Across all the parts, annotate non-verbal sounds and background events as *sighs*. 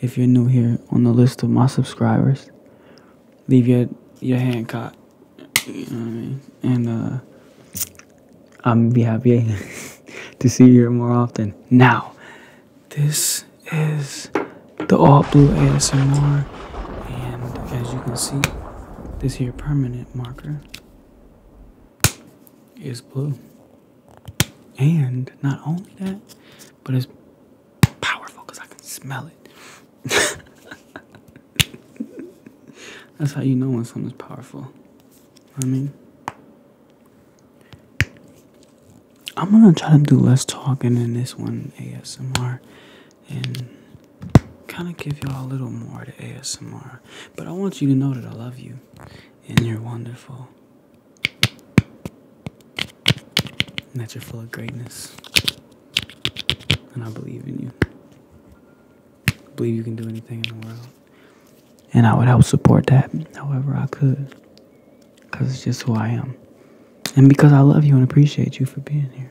if you're new here on the list of my subscribers, leave your your hand caught. You I mean? And uh I'm be happy *laughs* to see you here more often. Now, this is the all blue ASMR and as you can see, this here permanent marker is blue. And not only that, but it's powerful because I can smell it. *laughs* That's how you know when something's powerful. I mean, I'm gonna try to do less talking in this one ASMR and kind of give y'all a little more to ASMR. But I want you to know that I love you and you're wonderful and that you full of greatness. And I believe in you. believe you can do anything in the world. And I would help support that however I could. Because it's just who I am. And because I love you and appreciate you for being here.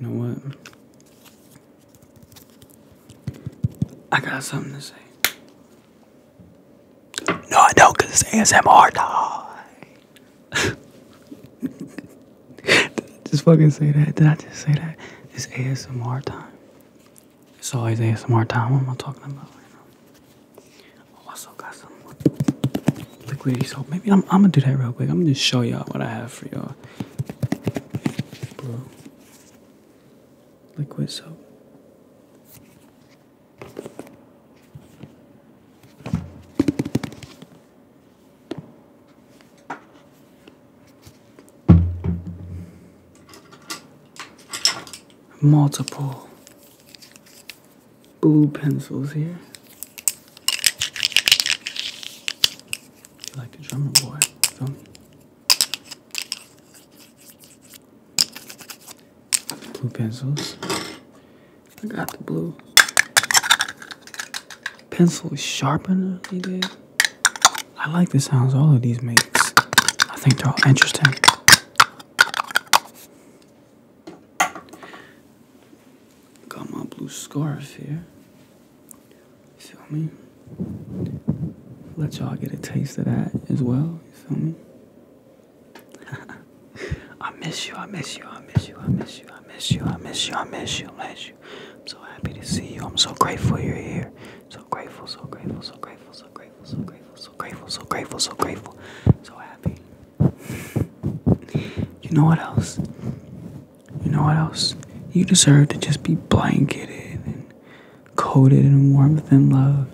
You know what? I got something to say. No, I don't, because it's ASMR. *laughs* just fucking say that. Did I just say that? It's ASMR time. It's always ASMR time. What am I talking about oh, I also got some liquidy soap. Maybe I'm, I'm gonna do that real quick. I'm gonna just show y'all what I have for y'all. Bro. Liquid soap. Multiple blue pencils here. You like the drummer boy, feel me? Blue pencils. I got the blue pencil sharpener I like the sounds all of these makes. I think they're all interesting. Got my blue scarf here. You feel me? Let y'all get a taste of that as well. You feel me? *laughs* I miss you, I miss you, I miss you, I miss you, I miss you, I miss you, I miss you, I miss you. I'm so happy to see you. I'm so grateful you're here. So grateful, so grateful, so grateful, so grateful, so grateful, so grateful, so grateful, so grateful. So happy you know what else? You know what else? You deserve to just be blanketed and coated in warmth and love.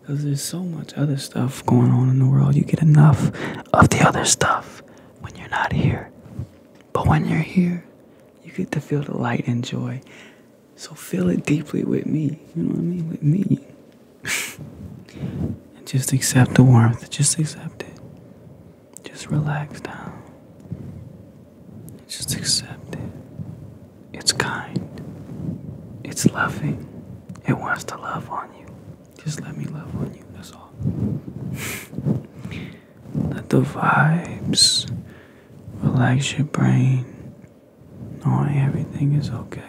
Because there's so much other stuff going on in the world. You get enough of the other stuff when you're not here. But when you're here, you get to feel the light and joy. So feel it deeply with me. You know what I mean? With me. *laughs* And just accept the warmth. Just accept it. Just relax down. Just accept it. It's kind. It's loving. It wants to love on you. Just let me love on you. That's all. *laughs* let the vibes relax your brain. Knowing everything is okay.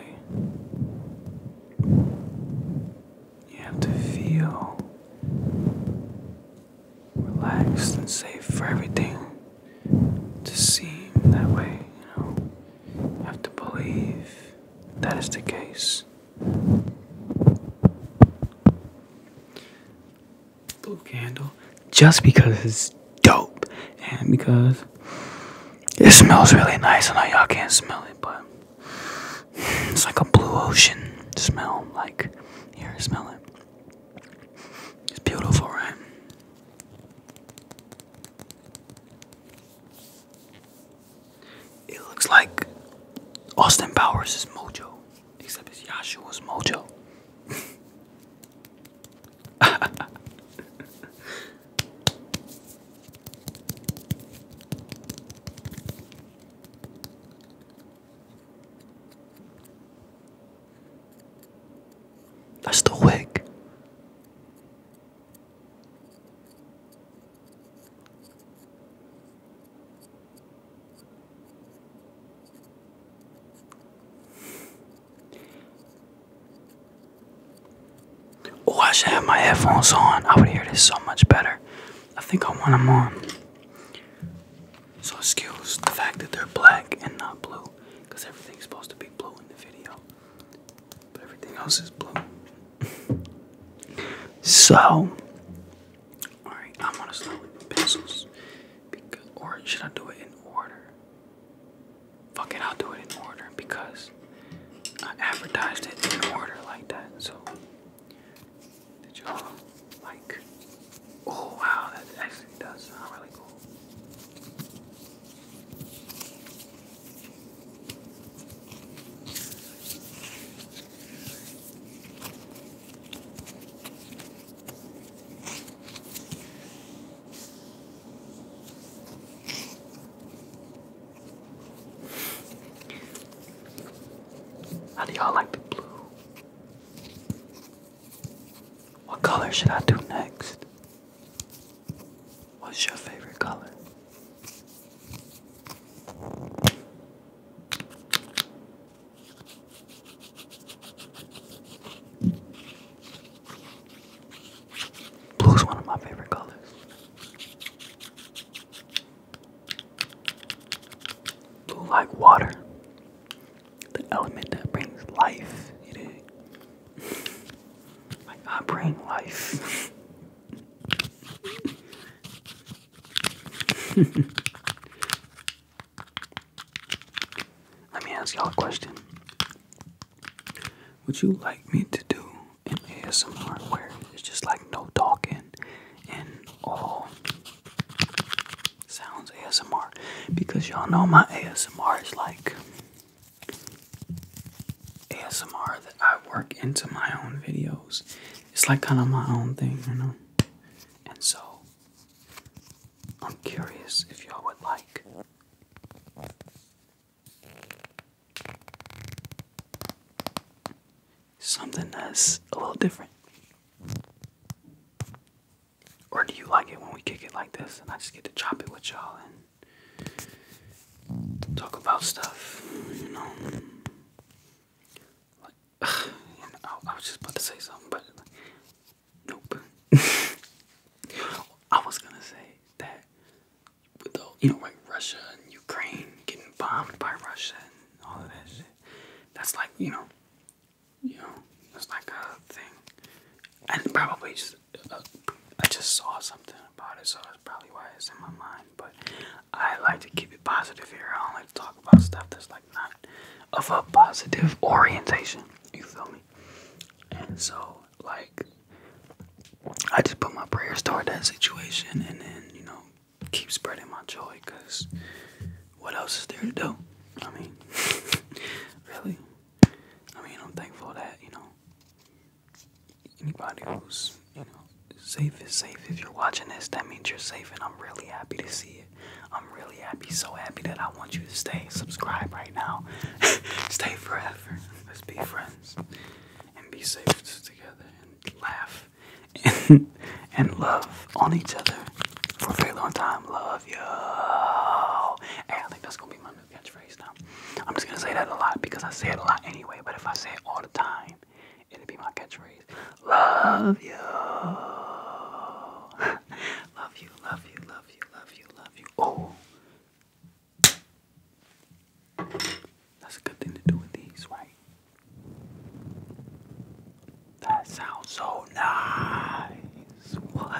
You have to feel relaxed and safe for everything to seem that way, you have to believe that is the case. Blue candle, just because it's dope and because it smells really nice. and I y'all can't smell it, but it's like a blue ocean smell. Like, here, smell it. It's beautiful, right? It looks like Austin Powers is Mojo, except it's Yashua's Mojo. *laughs* That's the wig. Oh, I should have my headphones on. I would hear this so much better. I think I want them on. So excuse the fact that they're black and not blue, because everything's supposed to be blue in the video, but everything else is blue. *laughs* so, alright, I'm gonna start with pencils, because, or should I do it in order? Fuck it, I'll do it in order because I advertised it in order like that. So, did y'all like? Oh wow, that actually does sound really cool. How do y'all like the blue? What color should I do next? What's your favorite color? Blue is one of my favorite colors. Blue like water. The element that brings life. You *laughs* dig? bring life. *laughs* Let me ask y'all a question. Would you like me to do ASMR where it's just like no talking and all sounds ASMR because y'all know my ASMR is like ASMR that I work into my own videos. It's like kind of my own thing, you know? And so I'm curious if y'all would like Something that's a little different. Or do you like it when we kick it like this and I just get to chop it with y'all and talk about stuff, you know? Like, *sighs* I was just about to say something, but nope. *laughs* I was gonna say that with the, you know, like Russia and Ukraine getting bombed by Russia and all of that shit. That's like, you know, you know, it's like a thing. And probably just, uh, I just saw something about it, so that's probably why it's in my mind. But I like to keep it positive here. I don't like to talk about stuff that's like not of a positive orientation. You feel me? And so like I just put my prayers toward that situation and then, you know, keep spreading my joy because what else is there to do? I mean, *laughs* really? I mean, I'm thankful that, you know, anybody who's, you know, safe is safe. If you're watching this, that means you're safe and I'm really happy to see it. I'm really happy, so happy that I want you to stay. Subscribe right now. *laughs* stay forever. Let's be friends and be safe together and laugh and, *laughs* and love on each other for a very long time. Love you. Hey, I think that's gonna be my new catchphrase now. I'm just gonna say that a lot because I say it a lot anyway, but if I say it all the time, it'll be my catchphrase. Love you. *laughs* love you, love you, love you, love you, love you. Oh, that's a good thing to do with these, right? That sounds so nice. *laughs* What?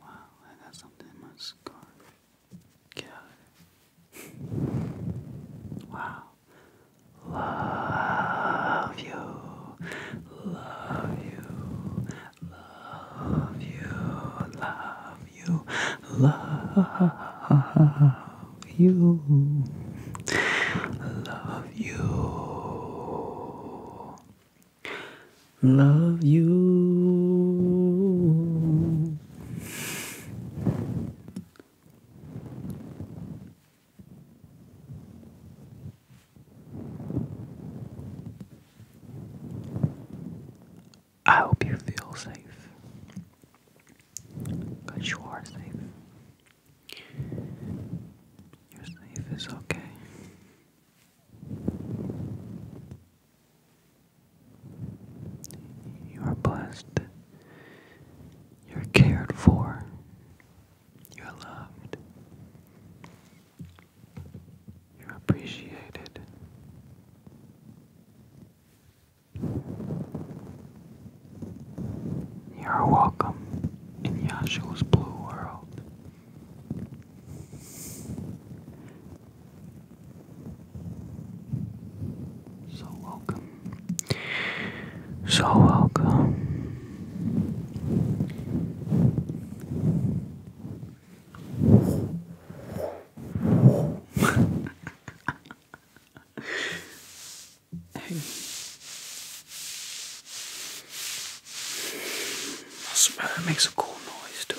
Wow, I got something in my scarf. Get Wow. Love you. Love you. Love you, love you, love you, love you, love you. I hope you feel safe. Because you are safe. You're safe, it's okay. You are blessed. You're cared for. You're loved. You're appreciated. You're welcome in Yashua's blue world. So welcome. So welcome smell it makes a cool noise too.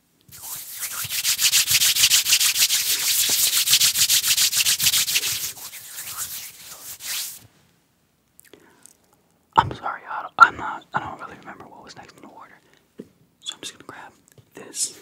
I'm sorry, I don't, I'm not, don't really remember what was next in the order. So I'm just gonna grab this.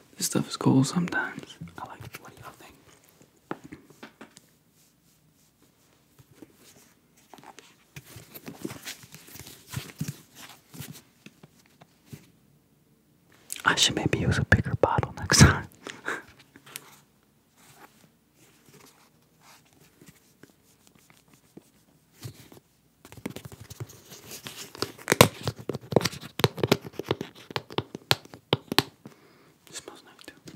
This stuff is cool sometimes. I I should maybe use a bigger bottle next time. *laughs* It smells nice too.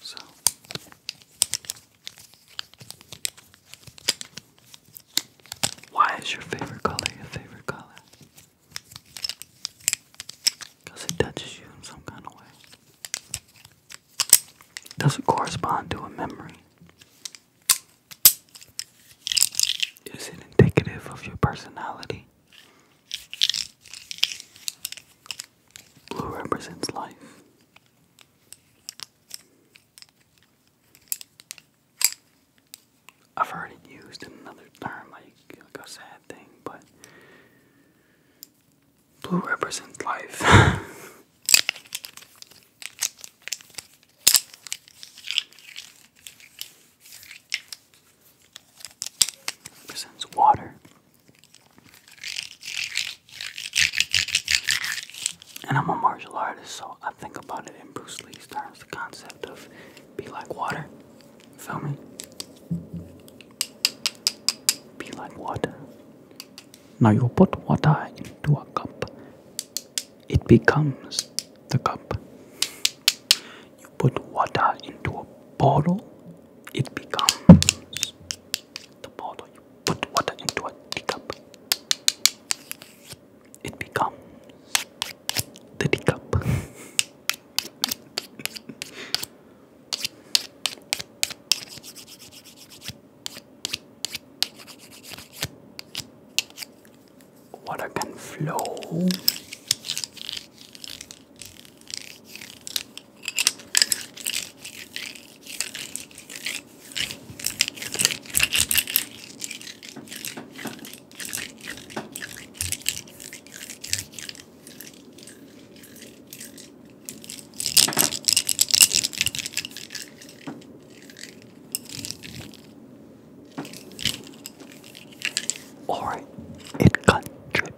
So why is your favorite color your favorite color? Because it touches you in some kind of way. Does it correspond to a memory? Is it indicative of your personality? Blue represents life. I've heard it used in another term, like, like a sad thing, but blue represents life. *laughs* Presents water. And I'm a martial artist, so I think about it in Bruce Lee's terms the concept of be like water. feel me? Be like water. Now you put water into a cup it becomes the cup. You put water into a bottle, it becomes the bottle. You put water into a teacup, it becomes the teacup. Water can flow. Alright, it got drip.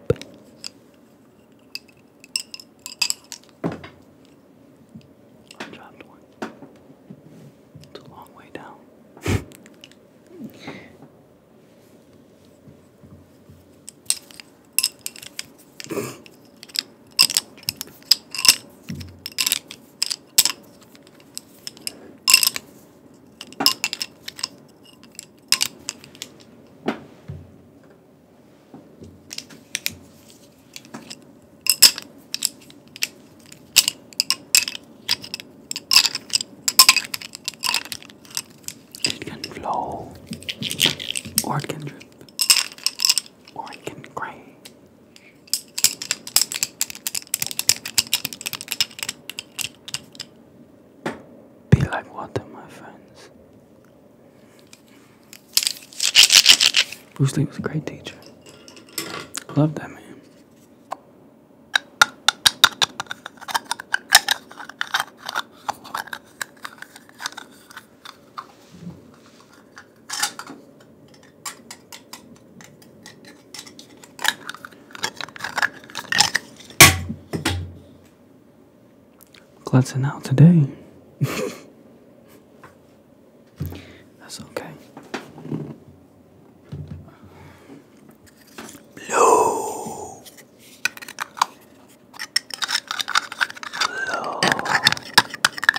dropped one. It's a long way down. *laughs* It can flow, or it can drip, or it can crash. Be like water, my friends. Bruce Lee was a great teacher. Love that man. Glancing out today. *laughs* That's okay. Blue. Hello.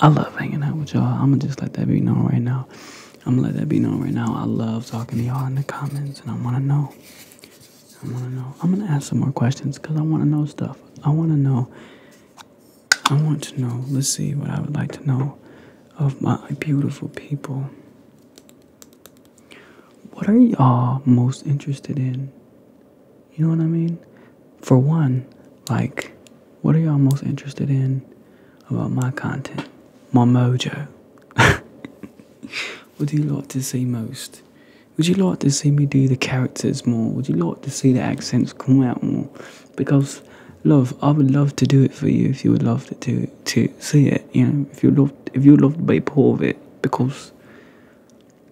I love hanging out with y'all. I'ma just let that be known right now. I'ma let that be known right now. I love talking to y'all in the comments and I wanna know. I wanna know. I'm gonna ask some more questions because I wanna know stuff. I wanna know. I want to know. Let's see what I would like to know of my beautiful people. What are y'all most interested in? You know what I mean? For one, like, what are y'all most interested in about my content? My mojo. *laughs* Would you like to see most? Would you like to see me do the characters more? Would you like to see the accents come out more? Because, love, I would love to do it for you if you would love to to see it. You know, if you love, if you love to be part of it, because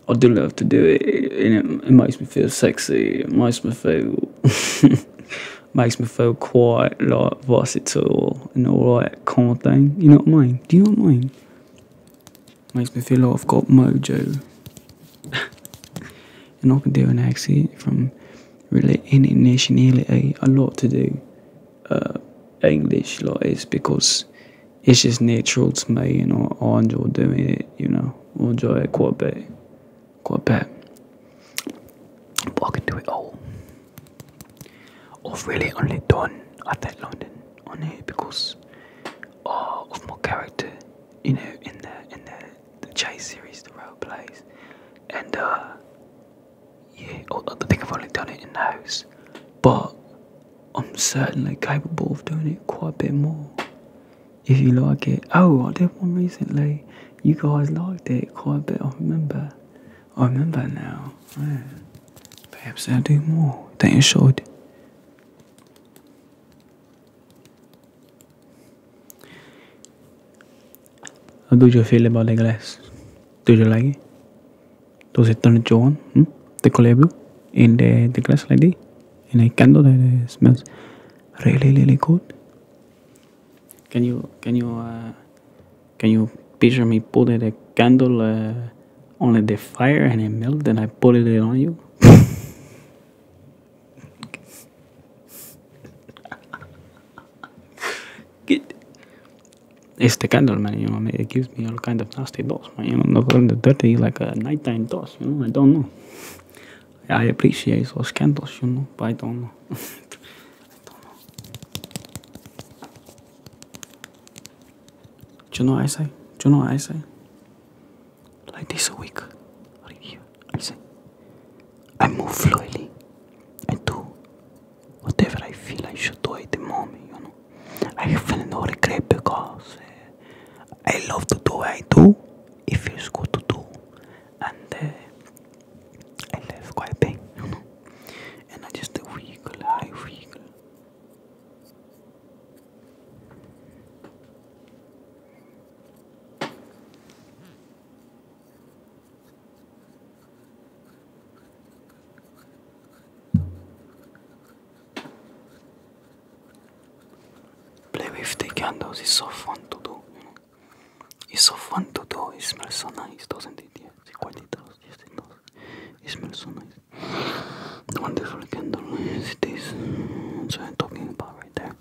I do love to do it, and it, makes me feel sexy. It makes me feel *laughs* makes me feel quite like versatile and all that kind of thing. You know what I mean? Do you know what I mean? Makes me feel like I've got mojo, *laughs* and I can do an accent from really any nationality. A eh, lot to do. Uh, English lot is because it's just natural to me, you know. I enjoy doing it, you know. I enjoy it quite a bit, quite a bit. But I can do it all. I've really only done that London on it because uh, of my character, you know, in the in the the chase series, the role plays, and uh, yeah, oh, I think I've only done it in the house, but I'm certainly capable of doing it quite a bit more. If you like it, oh, I did one recently. You guys liked it quite a bit. I remember. I remember now. Perhaps I'll do more. Don't you should. How do you feel about the glass? Do you like it? Does it turn jawn? Hmm? The color blue in the, glass like this. In a candle that smells really really good. Can you can you uh, can you picture me putting a candle uh, on the fire and it melts and I put it on you? *laughs* Get it's the candle, man. You know, it gives me all kind of nasty thoughts, man. You know, the dirty like uh, nighttime thoughts. You know, I don't know. I appreciate those candles, you know, but I don't know. *laughs* I don't know. Do you know what I say? Do you know what I say? Like this a week, right I say, I move fluidly. I do whatever I feel I should do at the moment, you know. I have no regret because eh, I love to do what I do. It feels good to do, and eh, I live quite big, you know. And I just a vehicle, high vehicle. Play with the candles is so fun to do, It's so fun to do, it smells so nice, doesn't it? Yes, quite it does, yes it does. It smells so nice. The wonderful candle is this so I'm talking about right there.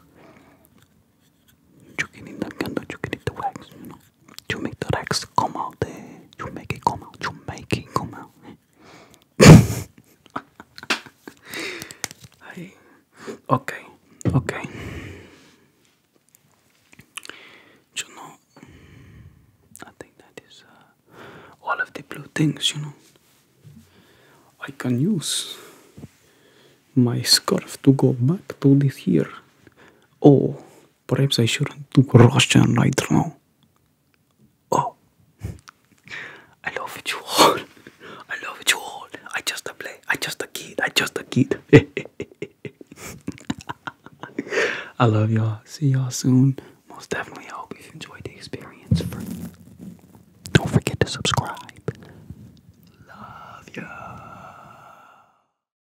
You can in the candle, can in the wax, you know. You make the Rex come out there. You make it come out. You make it come out. *laughs* okay, okay. You know, I uh, all of the blue things, you know. I can use my scarf to go back to this here. Oh, Perhaps I shouldn't do Russian right now. Oh, I love you all. I love you all. I just a play. I just a kid. I just a kid. *laughs* I love y'all. See y'all soon. Most definitely, I hope you've enjoyed the experience. Don't forget to subscribe. Love ya.